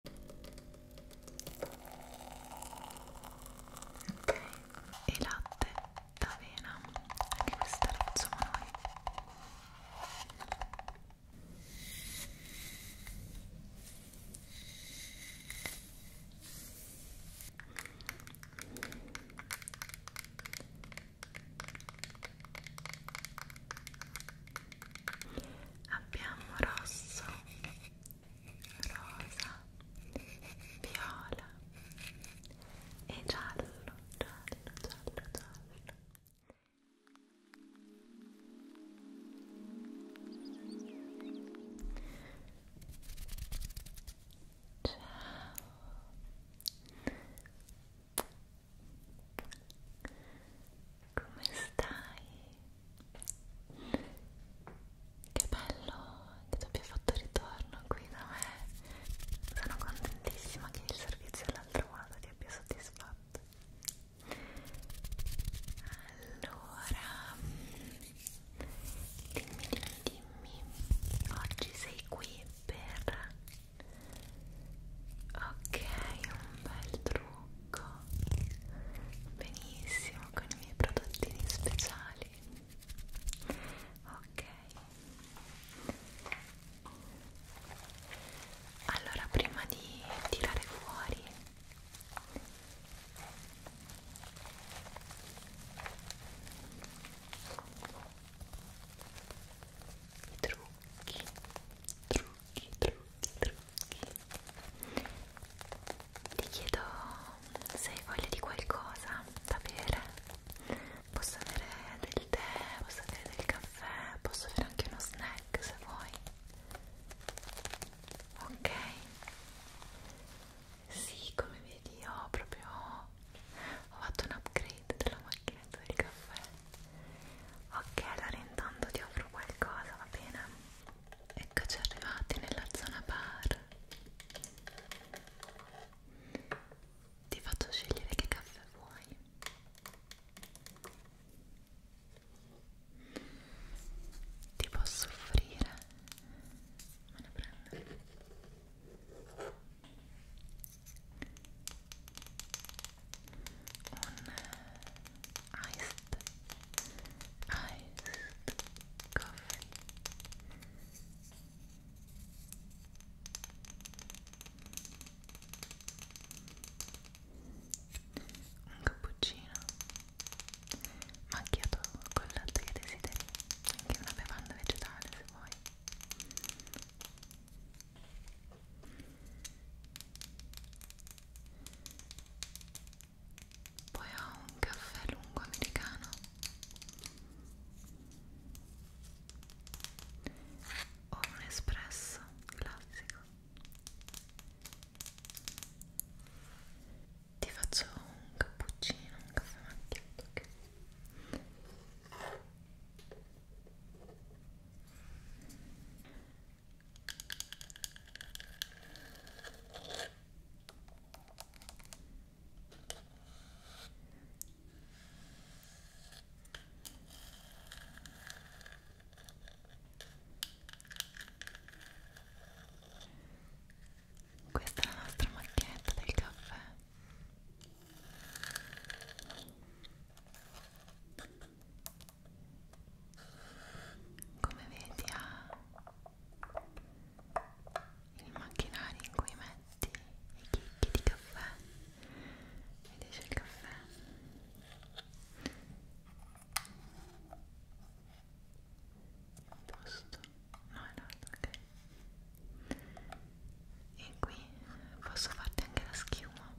ok e latte d'avena anche questo realizziamo noi ok abbiamo rosso, rosa, viola e giallo, giallo, giallo, giallo. Ciao. Come stai? Che bello che tu abbia fatto ritorno qui da me. Sono contentissima che il servizio l'altra volta ti abbia soddisfatto. Allora, dimmi, dimmi, dimmi, oggi sei qui per... Ok, un bel trucco trucco benissimo con i miei prodottini speciali ok allora prima di tirare fuori i trucchi trucchi trucchi, trucchi, trucchi. Ti chiedo se hai voglia di qualcosa da bere. Posso avere del tè, posso avere del caffè, posso avere anche uno snack se vuoi. Ok. Sì, come vedi ho proprio ho fatto un upgrade della macchinetta del caffè. Ok, allora intanto ti offro qualcosa, va bene? Eccoci arrivati nella zona bar. Ti faccio scegliere che caffè vuoi. Ti posso offrire? Me ne prendo un iced, iced coffee un cappuccino macchiato col latte che desideri anche una bevanda vegetale se vuoi poi ho un caffè lungo americano ho un espresso classico ti faccio un cappuccino, un caffè macchiato okay? Questa è la nostra macchinetta del caffè come vedi ha il macchinario in cui metti i chicchi di caffè ed esce il caffè posto no è l'altro ok e qui posso farti anche la schiuma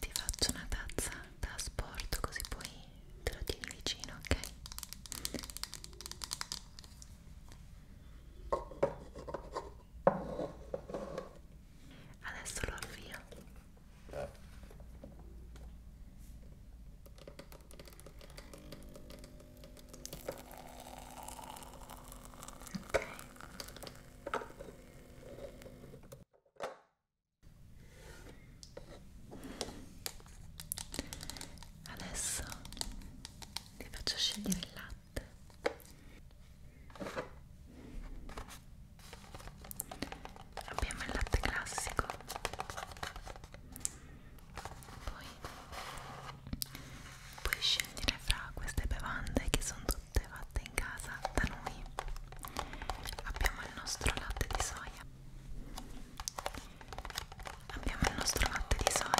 Ti faccio una tazza da sport così poi te lo tieni vicino, ok? Adesso lo avvio. Eh. Adesso ti faccio scegliere il latte. Abbiamo il latte classico poi puoi scegliere fra queste bevande che sono tutte fatte in casa da noi abbiamo il nostro latte di soia abbiamo il nostro latte di soia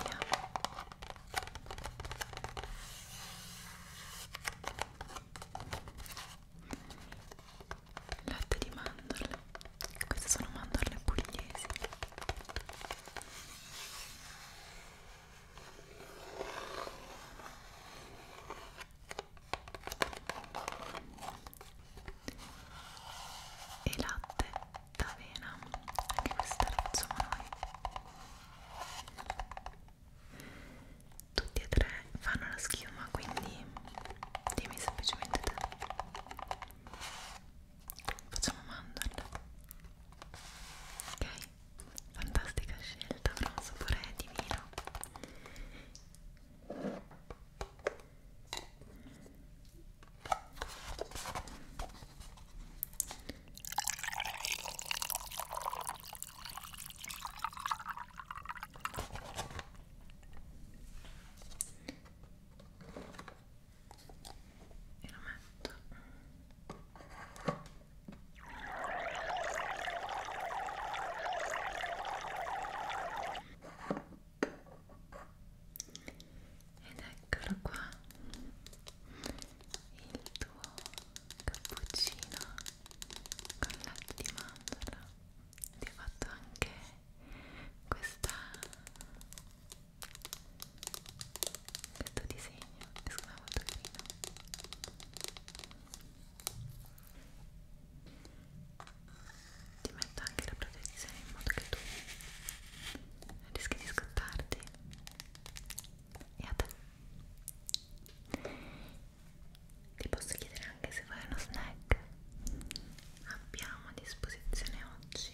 latte di mandorle queste sono mandorle pugliesi e latte d'avena anche questa la facciamo noi tutti e tre fanno la schiuma quindi dimmi semplicemente te facciamo mandorla ok fantastica scelta avrà un sapore divino e lo metto ed eccolo qua il tuo cappuccino con latte di mandorla ti ho fatto anche questa questo disegno che secondo me è molto carino ti metto anche la protezione in modo che tu rischi di scottarti e a te ti posso chiedere anche se vuoi uno snack abbiamo a disposizione oggi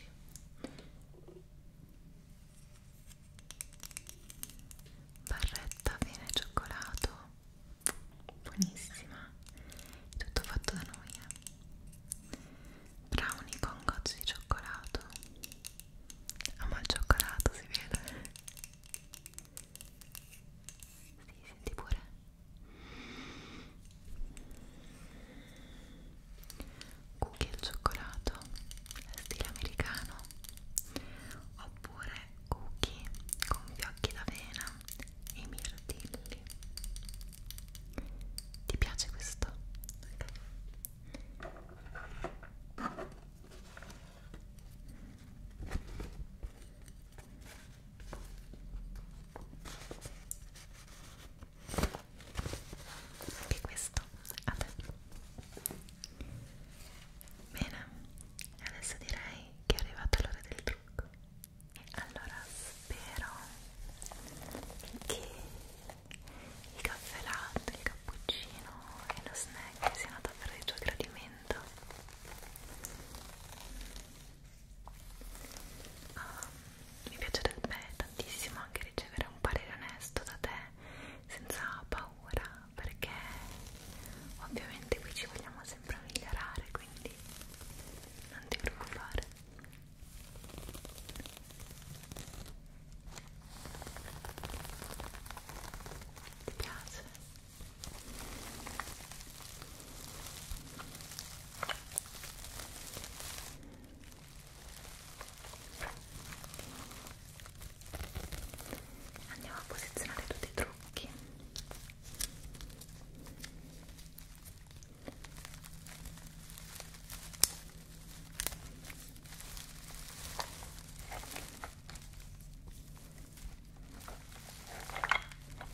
barretta avena e cioccolato buonissima tutto fatto da noi eh. brownie con gocce di cioccolato ama il cioccolato si vede si senti pure cookie al cioccolato stile americano oppure cookie con fiocchi d'avena e mirtilli ti piace questo? Okay anche questo a te bene adesso direi che è arrivato l'ora del trucco e allora spero che il caffè latte, il cappuccino e lo snack siano davvero di tuo gradimento Uh, mi piacerebbe tantissimo anche ricevere un parere onesto da te senza paura perché ovviamente qui ci vogliamo sempre migliorare quindi non ti preoccupare ti piace? Andiamo a posizionare tutti i trucchi. Ecco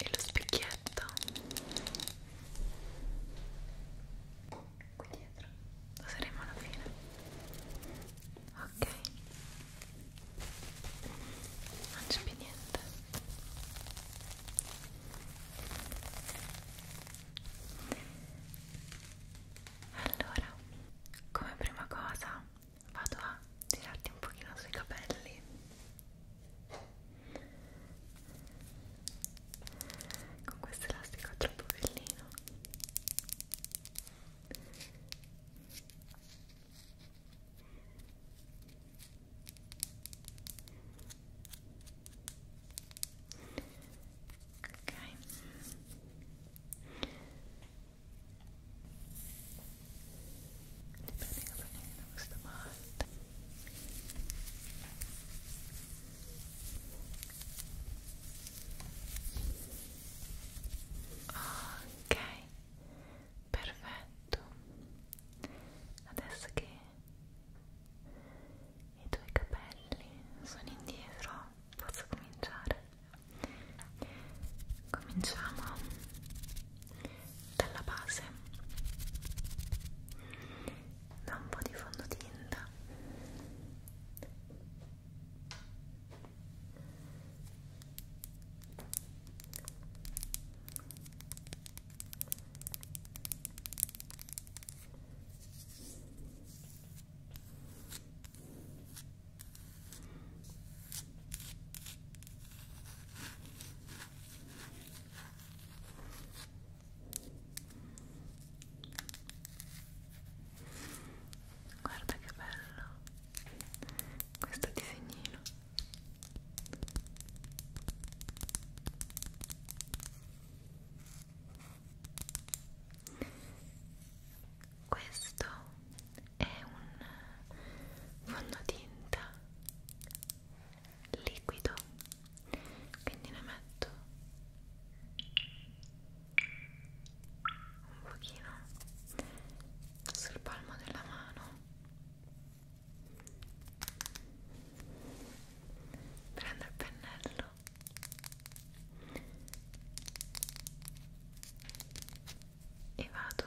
e lo specchietto qui dietro lo saremo alla fine ok non c'è più niente allora come prima cosa vado a tirarti un pochino sui capelli con questo elastico troppo bellino ok li prendo bene da questa parte Ok, perfetto. Adesso che i tuoi capelli sono indietro, posso cominciare. Cominciamo dalla base da un po' di fondotinta e Guarda che bello questo disegnino. Questo è un fondotinta liquido quindi ne metto un pochino sul palmo della mano prendo il pennello e vado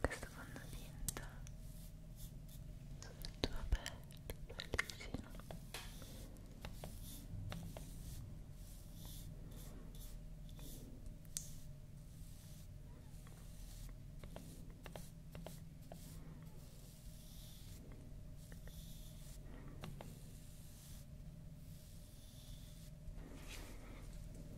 questo fondotinta sul tuo petto, bellicino Ora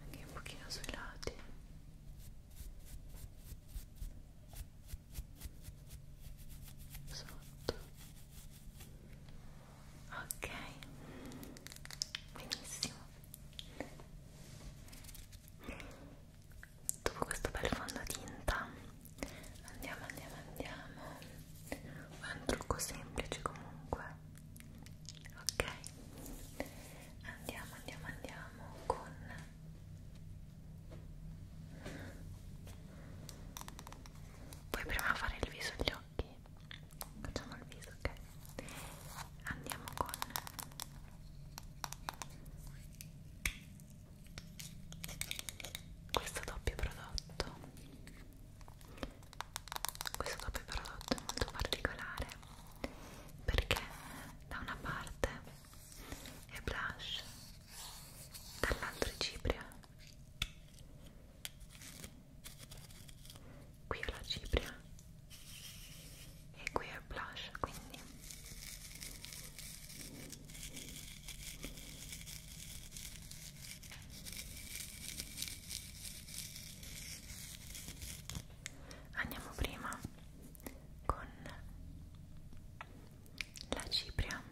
anche un pochino sui lati sotto ok benissimo dopo questo bel fondotinta andiamo andiamo andiamo è un trucco semplice comunque ok andiamo andiamo andiamo con poi prima fare il viso e gli occhi occhi facciamo il viso ok andiamo con questo doppio prodotto questo doppio prodotto è molto particolare perché da una parte è blush dall'altro è cipria qui è la cipria e qui è il blush quindi andiamo prima con la cipria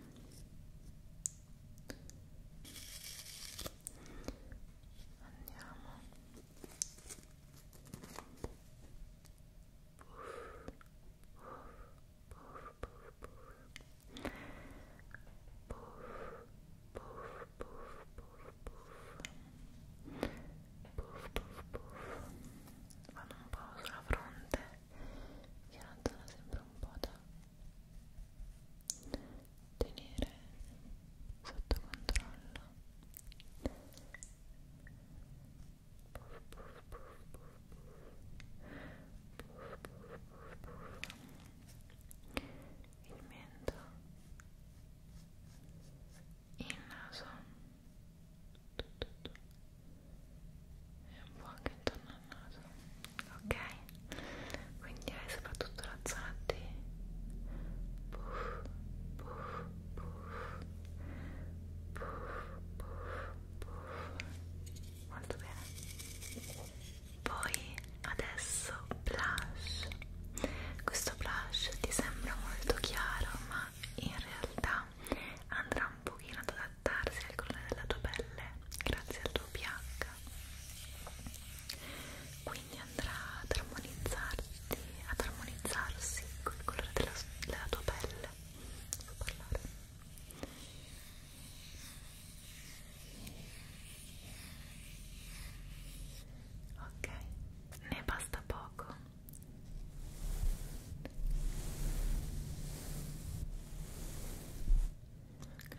andiamo Vado un po' sulla fronte che la zona sembra un po' da tenere sotto controllo il mento il naso e un po' anche intorno al naso ok quindi hai soprattutto la zona di puff, puff, puff, puff, puff, puff. molto bene poi adesso blush questo blush ti sembra molto chiaro ma in realtà andrà un pochino ad adattarsi al colore della tua pelle grazie al tuo pH quindi andrà ad armonizzarti, ad armonizzarsi col colore della, della tua pelle. So parlare. Ok, ne basta poco. Ok.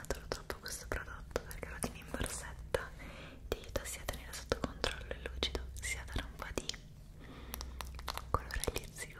Adoro troppo questo prodotto perché lo tieni in borsetta ti aiuta sia a tenere sotto controllo il lucido sia a dare un po' di colore agli zigomi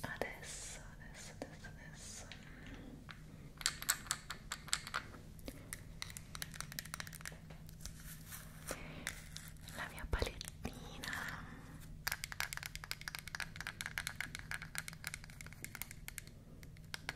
Adesso, adesso, adesso, adesso la mia palettina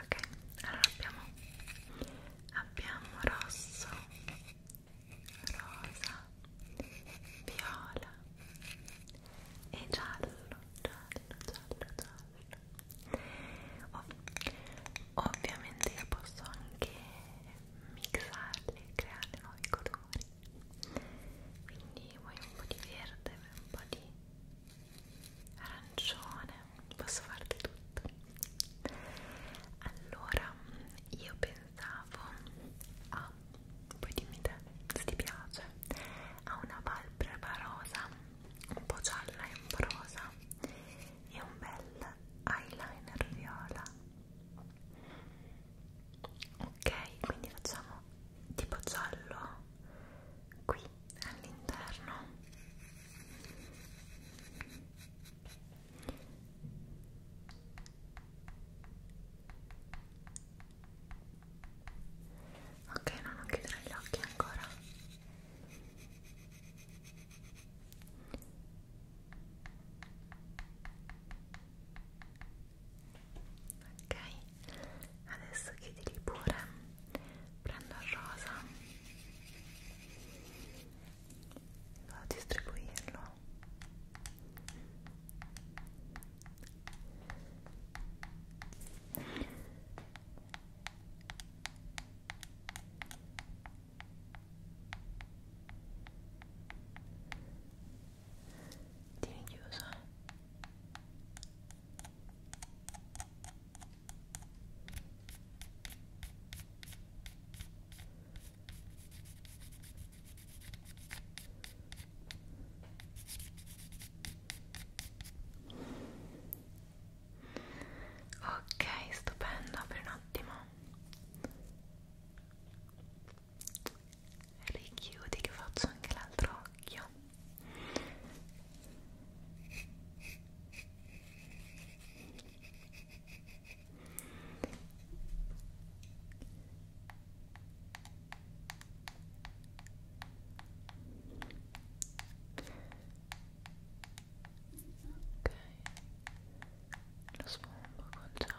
ok allora abbiamo abbiamo rosso rosa viola e giallo giallo giallo giallo Ov ovviamente io posso anche mixarli creare nuovi colori quindi vuoi un po' di verde vuoi un po' di arancione, posso farle tutto. Allora, io pensavo a, ah, poi dimmi te se ti piace, a una palpebra rosa, un po' gialla e un po' rosa e un bel eyeliner viola. Ok, quindi facciamo tipo giallo qui all'interno ok no, non chiuderò gli occhi ancora ok adesso chiudili pure prendo il rosa vado a distribuirlo Tieni chiuso. Ok, stupendo, apri un attimo richiudi che faccio anche l'altro occhio ok lo sfumbo con giallo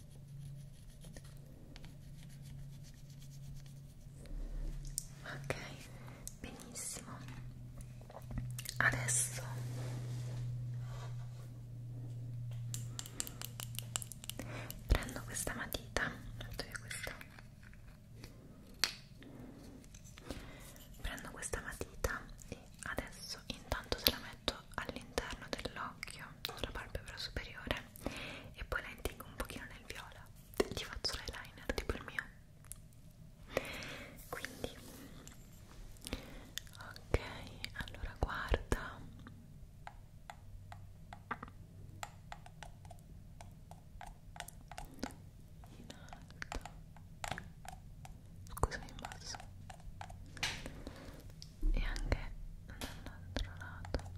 ok benissimo adesso prendo questa matita questa prendo questa matita e adesso intanto te la metto all'interno dell'occhio sulla palpebra superiore e poi la intingo un pochino nel viola gli faccio l'eyeliner tipo il mio quindi ok allora guarda in alto scusami in basso e anche dall'altro lato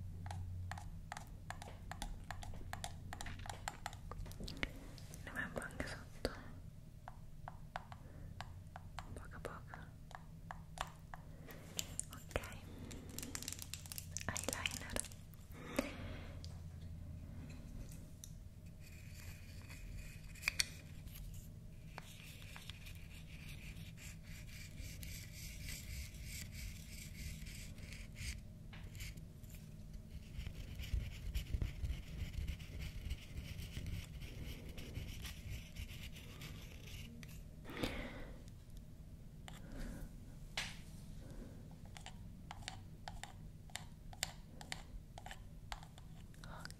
ne metto anche sotto poco a poco ok eyeliner ok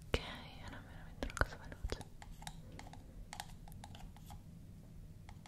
Ok, era veramente una cosa veloce.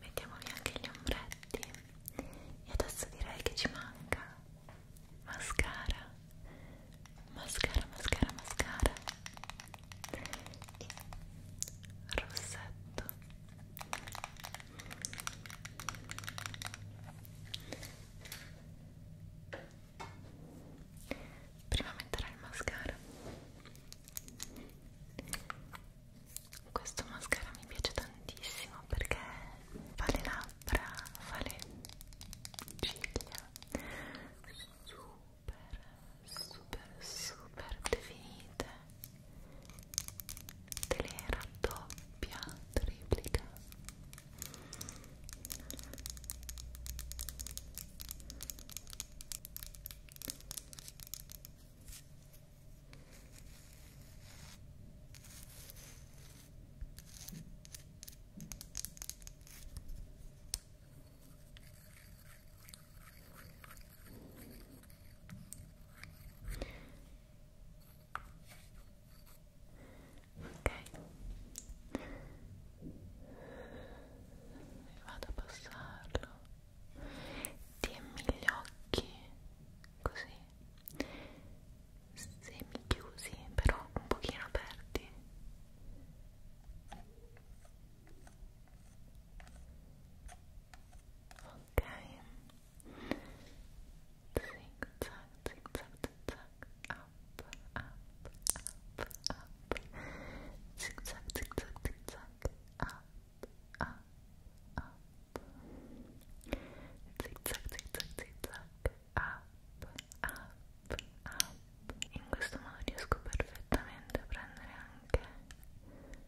Mettiamo via anche gli ombretti e adesso direi che ci manca mascara, mascara, mascara, mascara e rossetto prima metterò il mascara questo mascara mi piace tantissimo perché fa le labbra, fa le ciglia super super super super definite te le raddoppia, triplica vado a passarlo dimmi gli occhi così semi chiusi però un pochino aperti Okay. Zig In questo modo riesco perfettamente a prendere anche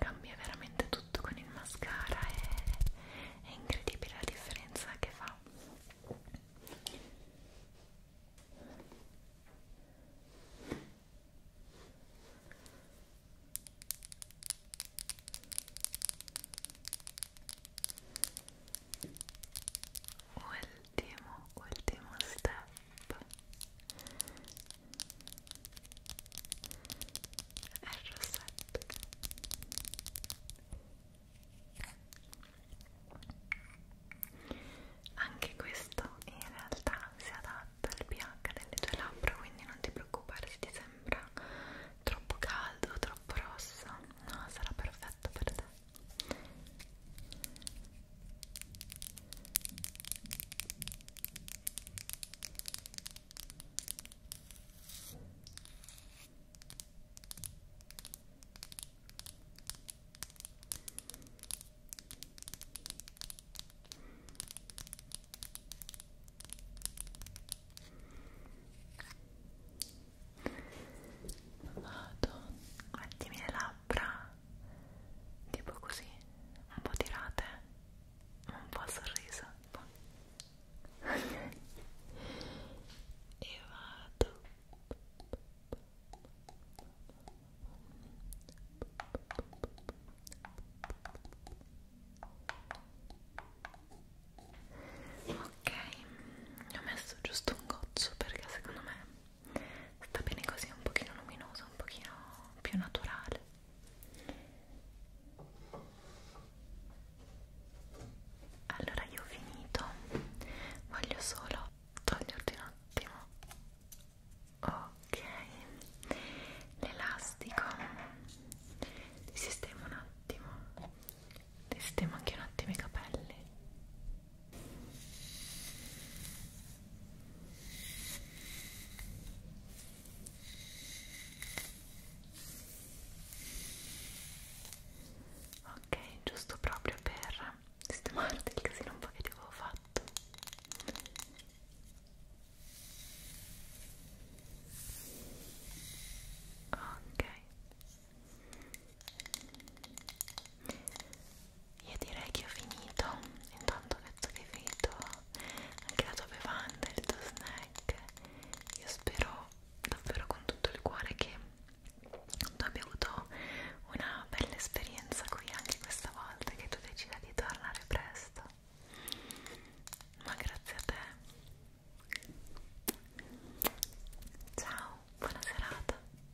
cambia veramente tutto con il mascara è, è incredibile la differenza che fa ultimo ultimo step è il rossetto anche questo in realtà si adatta al pH delle tue labbra quindi non ti preoccupare se ti sembra troppo caldo troppo rosso no sarà perfetto per te Vado, guardimi le labbra, tipo così, un po' tirate un po' il sorriso e vado ok ho messo giusto un goccio perché secondo me sta bene così un pochino luminoso un pochino più naturale allora io ho finito voglio solo toglierti un attimo ok l'elastico ti sistemo un attimo ti sistemo anche un attimo i capelli ok giusto proprio per sistemarti il casino un po' che ti avevo fatto ok io direi che ho finito intanto penso che vedo anche la tua bevanda, il tuo snack. Io spero davvero con tutto il cuore che tu abbia avuto una bella esperienza qui anche questa volta, che tu decida di tornare presto. Ma grazie a te. Ciao, buona serata.